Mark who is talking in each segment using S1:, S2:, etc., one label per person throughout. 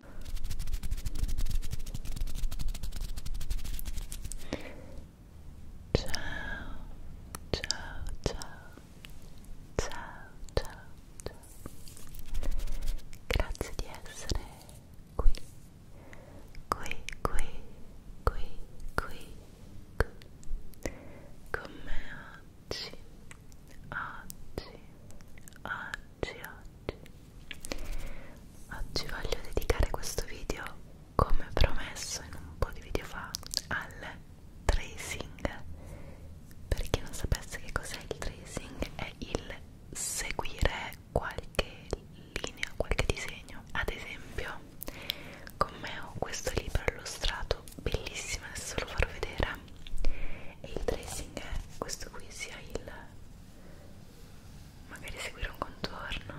S1: ciao, ciao, ciao, ciao, ciao. Grazie di essere qui, qui, qui, qui, qui, qui. Con me oggi, oggi, oggi, oggi Oggi voglio dedicare questo video, come promesso in un po' di video fa, al tracing. Per chi non sapesse che cos'è il tracing, è il seguire qualche linea, qualche disegno. Ad esempio, con me ho questo libro illustrato, bellissimo, adesso lo farò vedere. E il tracing è questo qui, sia il magari seguire un contorno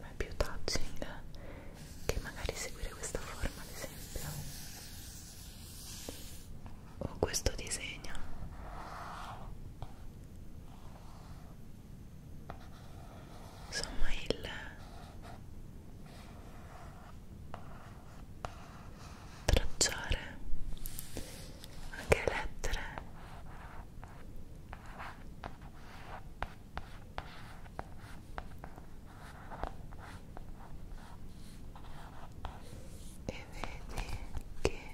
S1: ma è più touching che magari seguire questa forma ad esempio o questo disegno insomma il tracciare anche lettere e vedi che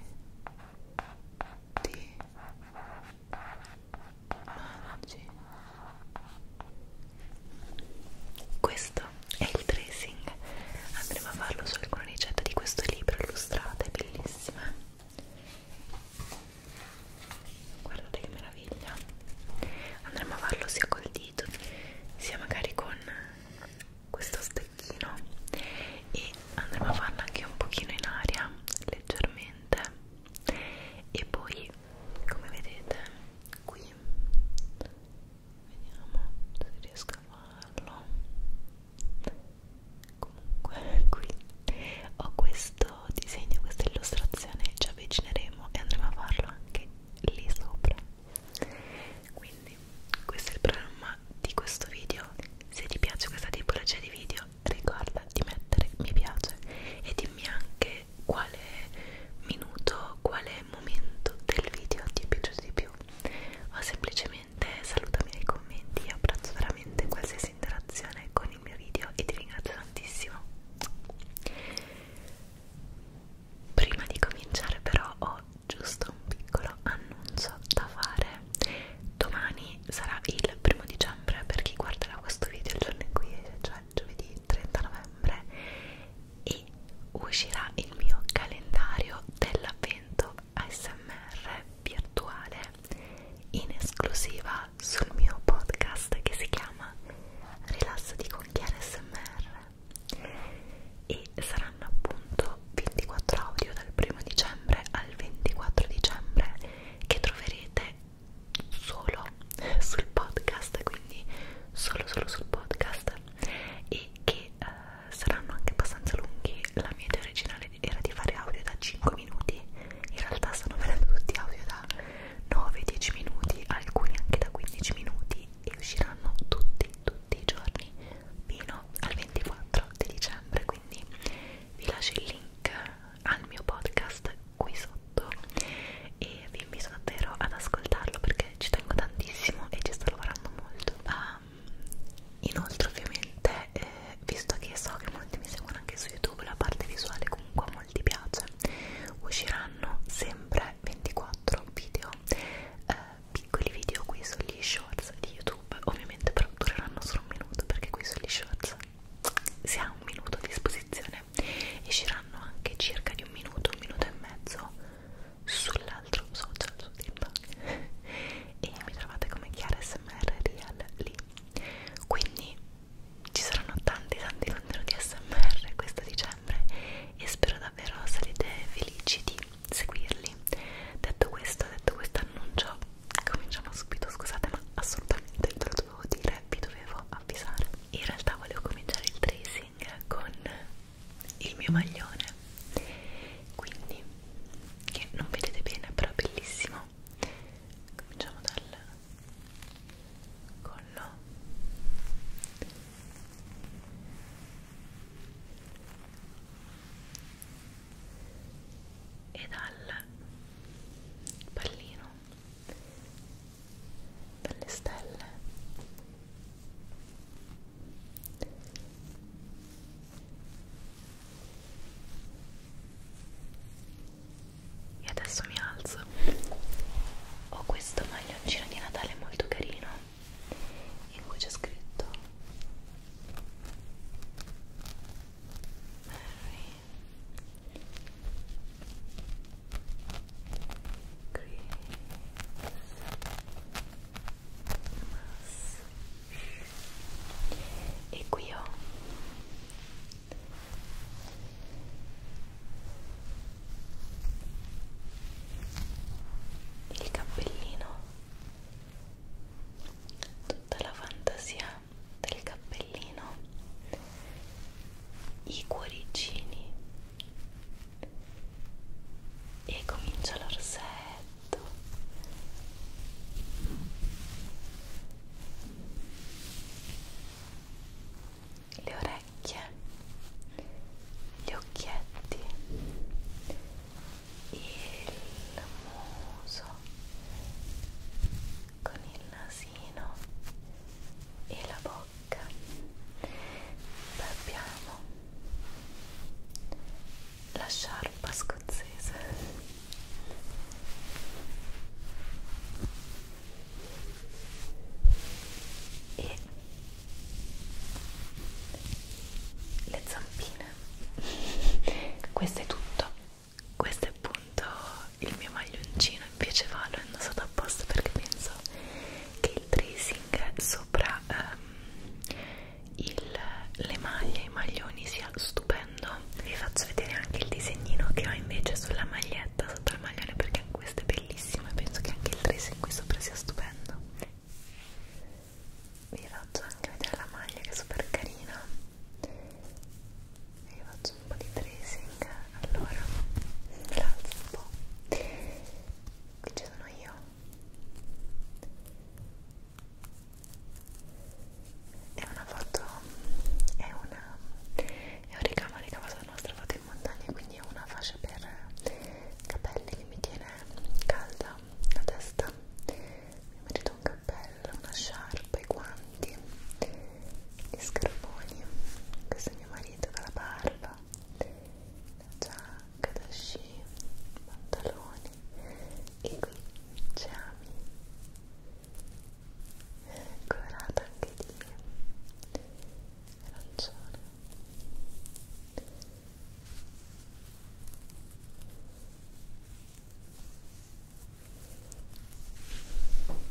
S1: ti mangi questo è il tracing, andremo a farlo su alcune ricette di questo libro illustrate, bellissime. Guardate che meraviglia! Andremo a farlo sia col dito, sia magari con questo stecchino e andremo a farlo anche un pochino in aria, leggermente. E poi, come vedete, qui vediamo se riesco a farlo comunque qui ho questo disegno questa illustrazione ci avvicineremo e andremo a farlo anche lì sopra quindi questo è il programma di questo video se ti piace questa tipologia di video ricorda di mettere mi piace e dimmi anche quale minuto quale momento del video ti è piaciuto di più o semplicemente salutami nei commenti io apprezzo veramente qualsiasi interazione con il mio video e ti ringrazio tantissimo prima di cominciare però ho giusto un piccolo annuncio da fare domani sarà il primo dicembre per chi guarderà questo video il giorno in cui esce cioè giovedì 30 novembre e uscirà il mio calendario dell'avvento ASMR virtuale in esclusiva sul mio podcast che si chiama Rilasso di Conchiere ASMR e saranno appunto 24 audio dal 1 dicembre al 24 dicembre che troverete solo sul podcast quindi solo solo sul podcast e che eh, saranno anche abbastanza lunghi. La mia idea originale era di fare audio da 5 minuti, in realtà stanno venendo tutti audio da 9-10 minuti, alcuni anche da 15 minuti e usciranno tutti, tutti i giorni fino al 24 di dicembre. Quindi vi lascio il link al mio podcast qui sotto e e vi invito davvero ad ascoltarlo perché ci tengo tantissimo e ci sto lavorando molto um, inoltre ovviamente eh, visto che so che molti mi seguono anche su youtube la parte visuale comunque a molti piace usciranno sempre 24 video eh, piccoli video qui sugli shorts di youtube ovviamente però dureranno solo un minuto perché qui sugli shorts si ha un minuto a disposizione usciranno anche circa di un minuto, un minuto e mezzo sull'altro social su TikTok e mi trovate come Chiara SMR Real lì quindi ci saranno tanti tanti contenuti SMR questo dicembre e spero davvero sarete felici di seguirli detto questo, detto questo annuncio cominciamo subito, scusate ma assolutamente ve lo dovevo dire, vi dovevo avvisare in realtà volevo cominciare il tracing unboxing con il mio maglione quindi che non vedete bene però è bellissimo cominciamo dal collo e dal pallino per le stelle e adesso mi alzo ho questo maglioncino di Natale molto carino in cui c'è scritto Merry e qui ho il cappellino tutta la fantasia del cappellino i cuoricini e comincia l'orsetto le orecchie gli occhietti il muso con il nasino e la bocca bocca abbiamo la sciarpa scozzese e le zampine questo è tutto questo è appunto il mio maglioncino invece valo è indossata apposta perché penso che il tracing sopra ehm, il, le maglie e i maglioni sia stupendo vi faccio vedere anche il disegnino che ho invece sulla maglietta sotto il maglione perché anche questo è bellissimo e penso che anche il tracing qui sopra sia stupendo vi faccio anche vedere la maglia che è super carina vi faccio un po' di tracing allora l'alzo un po' qui ci sono io è una foto è una è un ricamo ricavato dalla nostra foto in montagna quindi è una fascia per capelli che mi tiene calda la testa mi merito un cappello, una sciarpa, i guanti gli scarponi questo è mio marito con la barba la giacca da sci, pantaloni e qui c'è Ami colorata anche di arancione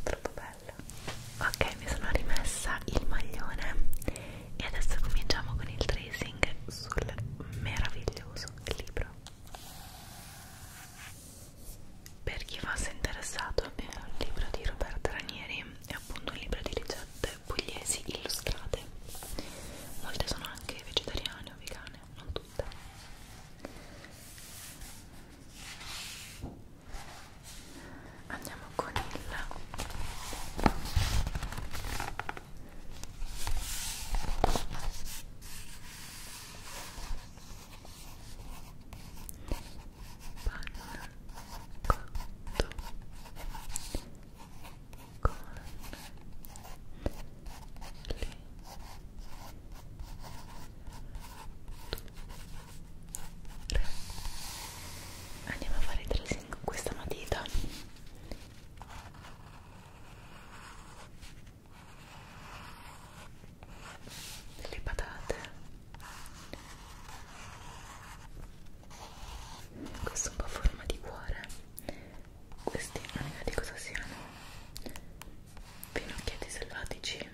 S1: troppo bello ok mi sono rimessa il maglione e adesso cominciamo con il tracing sul meraviglioso libro per chi fosse interessato è un libro di Roberto Ranieri è appunto un libro di ricette pugliesi illustrate molte sono anche vegetariane o vegane non tutte andiamo con il panna cotto con le andiamo a fare il tracing con questa matita delle patate questo è un po' a forma di cuore questi non so di cosa siano pinocchietti selvatici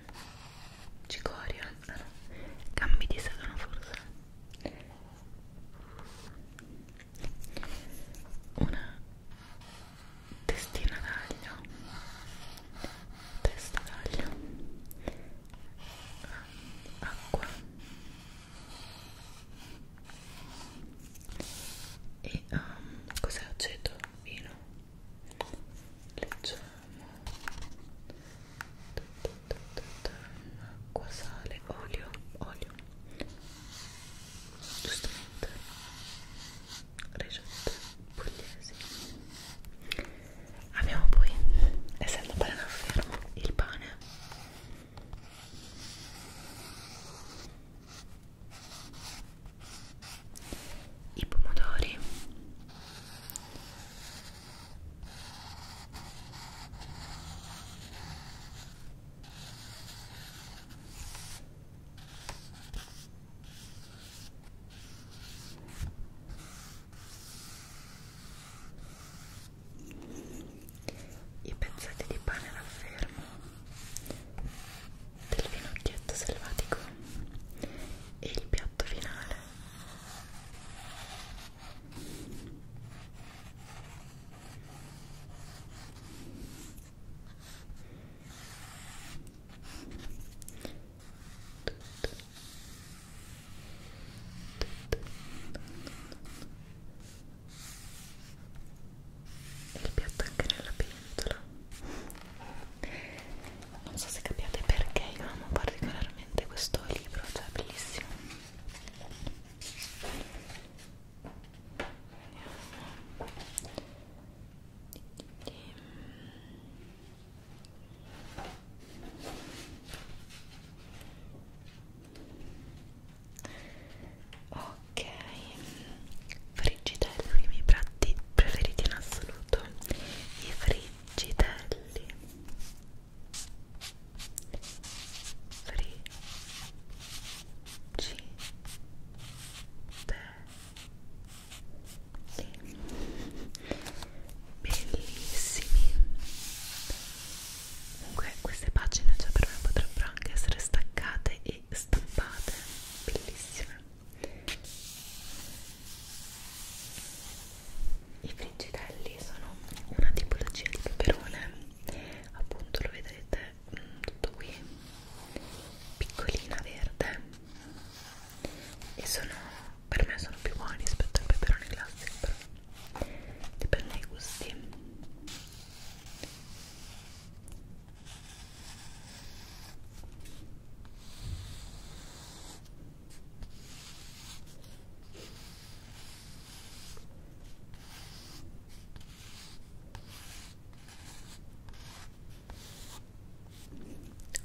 S1: cicoria ah no. cambi di sedano forse una testina d'aglio testa d'aglio acqua e um, cos'è aceto? vino leggiamo acqua, sale, olio, olio giustamente ricette pugliesi abbiamo poi, essendo pane fermo, il pane i pomodori i pezzetti di pane raffermo del finocchietto selvatico e il piatto finale il piatto anche nella pentola non so se capiate perché io amo particolarmente questo libro cioè è bellissimo Ok, friggitelli, i miei piatti preferiti in assoluto, i friggitelli bellissimi comunque queste pagine già per me potrebbero anche essere staccate e stampate bellissime i friggitelli sono una tipologia di peperone, appunto lo vedrete mm, tutto qui, piccolina verde e sono, per me sono più buoni rispetto al peperone classico, però dipende dai gusti.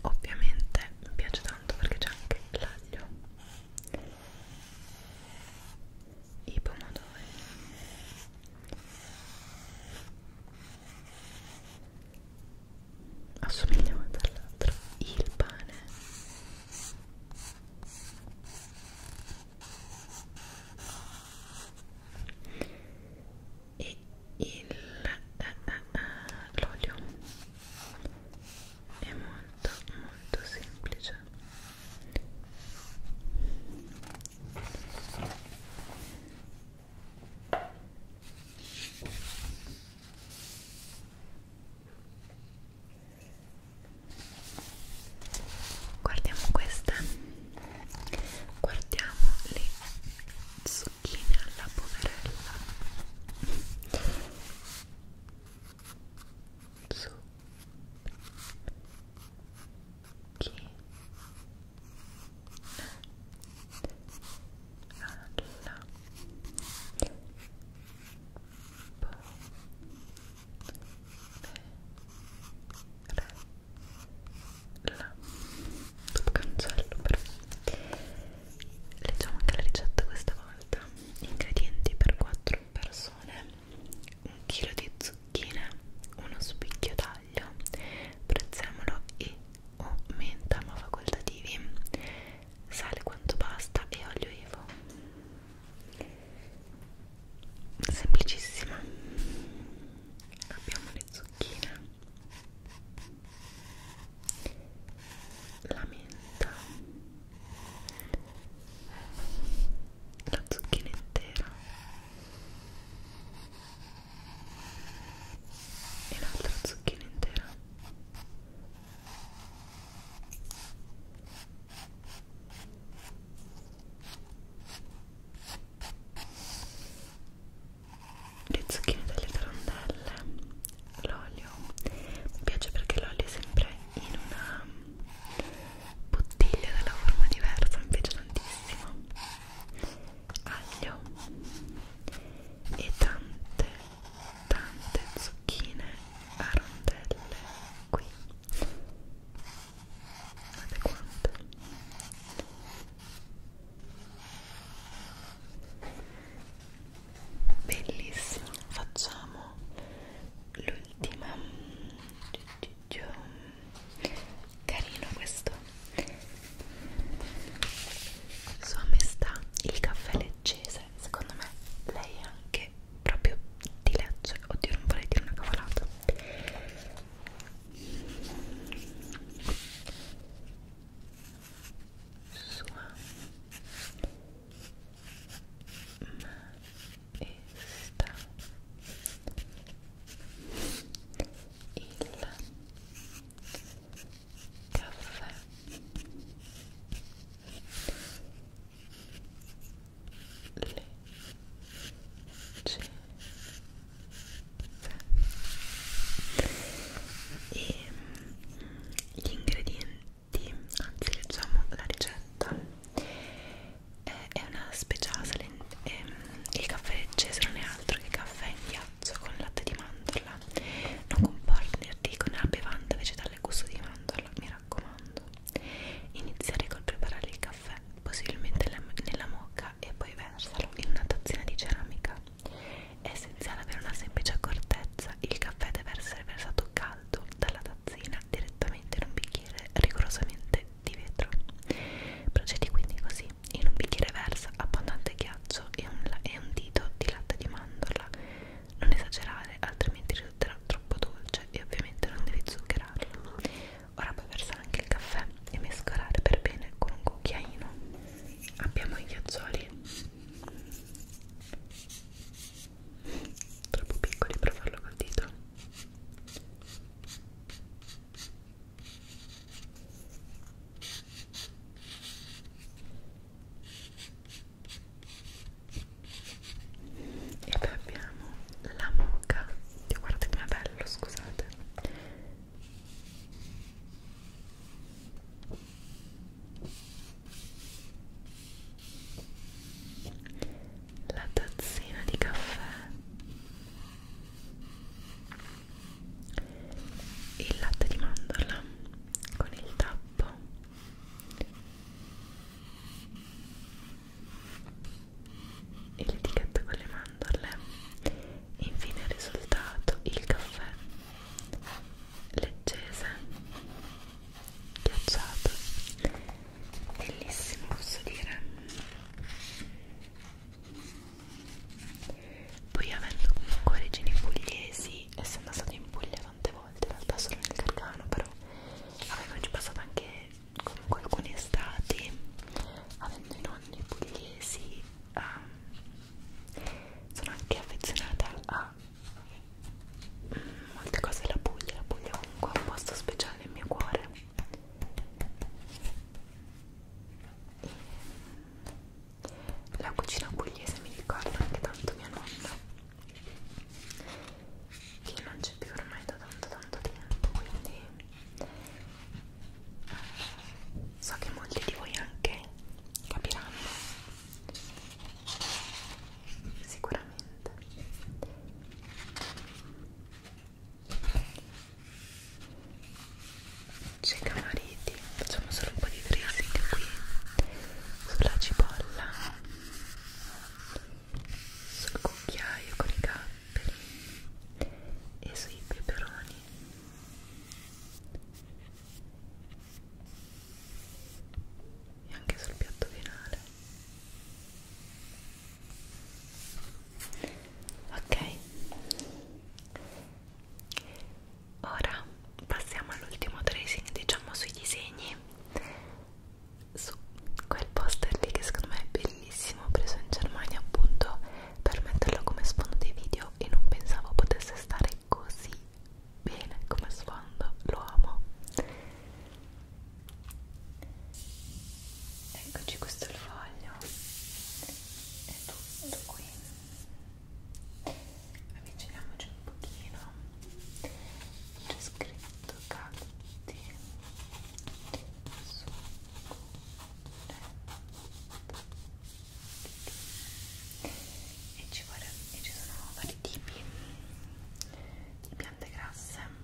S1: Ovviamente mi piace tanto perché c'è anche l'aglio, i pomodori. Assomigliamo dall'altro il pane el l'olio es muy muy simple guardiamo questa guardiamo le zucchine alla poverella zucchine alla la dopo cancello però leggiamo anche la ricetta questa volta ingredienti per 4 persone un chilo di zucchine uno spicchio d'aglio prezzemolo e o menta ma facoltativi sale quanto basta e olio evo semplicissima abbiamo le zucchine la menta la zucchina intera e l'altra zucchina intera le zucchine delle crondelle l'olio mi piace perché l'olio è sempre in una bottiglia della forma diversa mi piace tantissimo aglio e tante tante zucchine a rondelle qui guardate quante bellissimo facciamo l'ultima mm, mm, carino questo sua maestà il caffè leggese forse secondo me lei è anche proprio di Lecce oddio non vorrei dire una cavolata sua maestà il caffè e gli ingredienti anzi leggiamo la ricetta è, è una speciale il caffè acceso non è altro che caffè in ghiaccio con latte di mandorla non comporta né articoli né bevanda vegetale farle gusto di mandorla, mi raccomando. Iniziare col preparare il caffè, possibilmente nella mocca e poi versalo in una tazzina di ceramica. È essenziale avere una semplice accortezza, il caffè deve essere versato caldo dalla tazzina direttamente in un bicchiere rigorosamente di vetro. Procedi quindi così, in un bicchiere versa abbondante ghiaccio e un, e un dito di latte di mandorla non esagerare, altrimenti risulterà troppo dolce e ovviamente non devi zuccherarlo. Ora puoi versare anche il caffè e mescolare per bene con un cucchiaino. Abbiamo i ghiaccioli troppo piccoli per farlo col dito e poi abbiamo la moca Dio, guardate com'è bello scusate la tazzina di caffè il latte di mandorla con il tappo e l'etichetta con le mandorle e infine il risultato il caffè leggese ghiacciato bellissimo posso dire poi avendo comunque origini pugliesi essendo stato in Puglia tante volte in realtà solo nel Gargano però avevo già passato anche comunque alcune estati avendo i nonni pugliesi um, sono anche affezionata a mm, molte cose della Puglia la Puglia è comunque un posto speciale nel mio cuore e mm, la cucina pugliese mi ricorda anche tanto mia nonna che non c'è più ormai da tanto tanto tempo quindi eh, so che molti di voi anche capiranno sicuramente c'è Camariti facciamo solo un po' di tracing qui sulla cipolla sul cucchiaio con i capperi e sui peperoni e anche sul piatto finale ok ora passiamo all'ultimo tracing diciamo sui disegni su quel poster lì che secondo me è bellissimo preso in Germania appunto per metterlo come sfondo dei video e non pensavo potesse stare così bene come sfondo lo amo eccoci questo è il foglio è tutto qui avviciniamoci un pochino c'è scritto catti e ci, vorrei, e ci sono vari tipi di piante grasse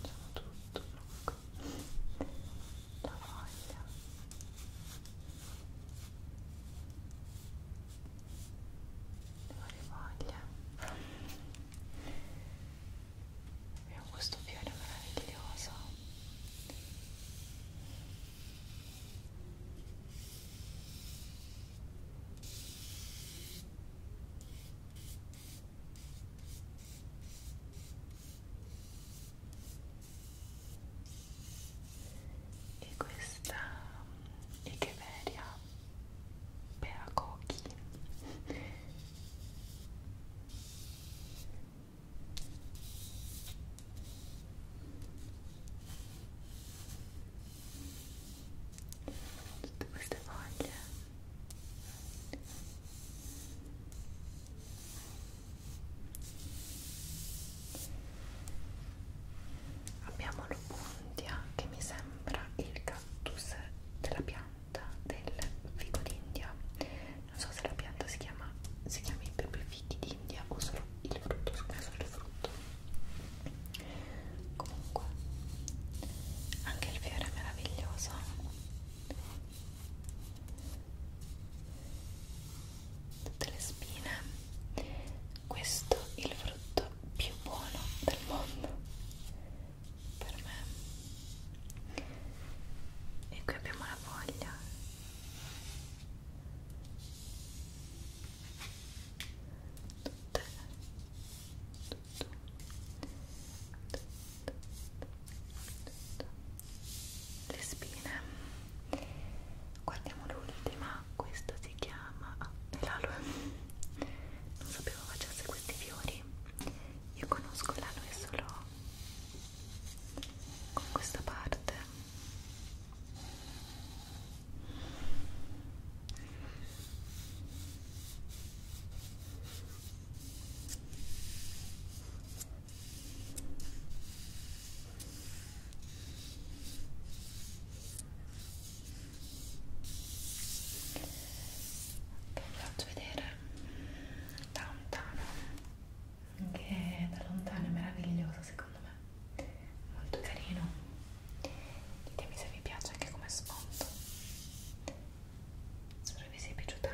S1: Facciamo tutto un la voglia le varie voglie abbiamo questo fiore meraviglioso e questa Echeveria mm, Peacochi tutte queste foglie abbiamo l'opuntia che mi sembra il cactus della pianta del fico d'India non so se la pianta si chiama si chiami proprio fichi d'India o solo il frutto solo il frutto comunque anche il fiore è meraviglioso tutte le spine questo è il frutto più buono del mondo per me e qui abbiamo la foglia tutte tutto tutto le spine guardiamo l'ultima questa si chiama ah, l'aloe non sapevo facesse questi fiori io conosco l'aloe solo con questa parte vi faccio vedere da lontano che da lontano è meraviglioso secondo me molto carino ditemi se vi piace anche come sfondo spero vi sia piaciuta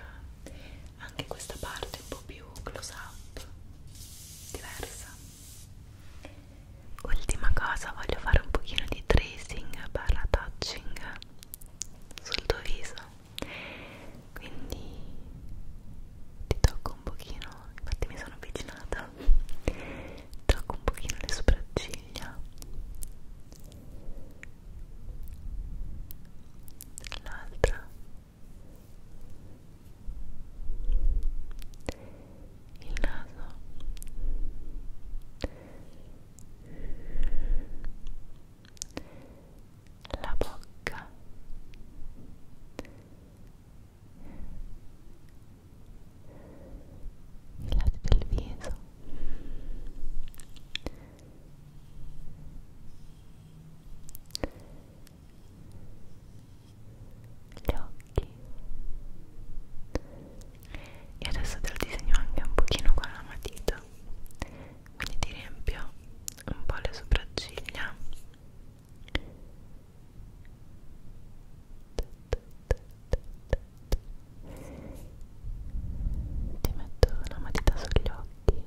S1: anche questa parte un po' più close up diversa ultima cosa voglio fare un pochino di tracing barra touching sul tuo viso quindi ti tocco un pochino infatti mi sono avvicinata tocco un pochino le sopracciglia l'altra il naso la bocca i lati del viso gli occhi e adesso te lo disegno anche un pochino con la matita quindi ti riempio un po' le sopracciglia ti metto una matita sugli occhi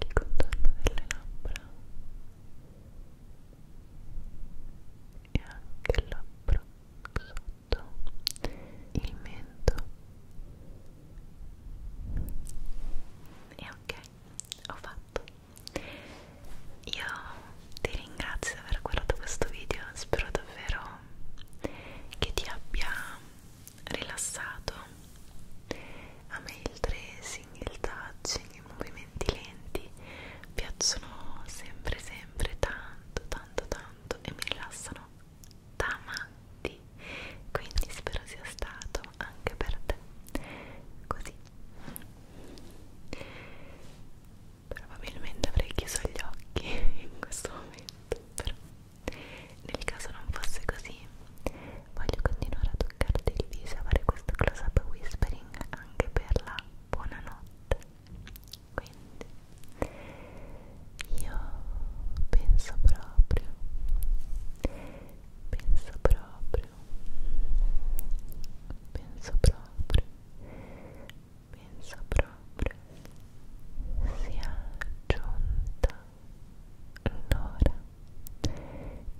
S1: il contorno delle labbra e anche il labbro sotto il mento e ok ho fatto io ti ringrazio di aver guardato questo video spero davvero che ti abbia rilassato a me il tracing, il touching, i movimenti lenti piacciono sempre sempre tanto tanto tanto e mi rilassano da matti. Quindi spero sia stato anche per te così. Probabilmente avrei chiuso gli occhi in questo momento, però nel caso non fosse così voglio continuare a toccarti il viso e fare questo close up whispering anche per la buonanotte quindi io penso proprio penso proprio penso proprio penso proprio sia giunta l'ora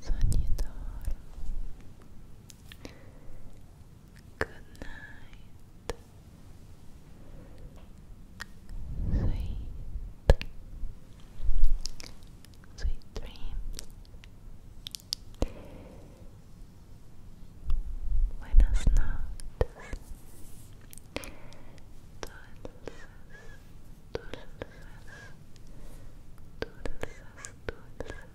S1: Sognitor. Good night. Sweet, sweet dreams. Buenas noches. Dulces, dulces, dulces, dulces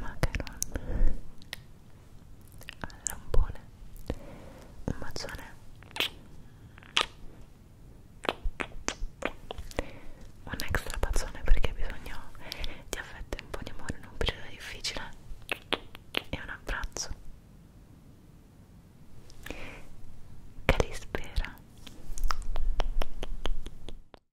S1: macaron al lampone un mazzone un extra pazzone perché ha bisogno di affetto e un po' di amore in un periodo difficile e un abbraccio che li spera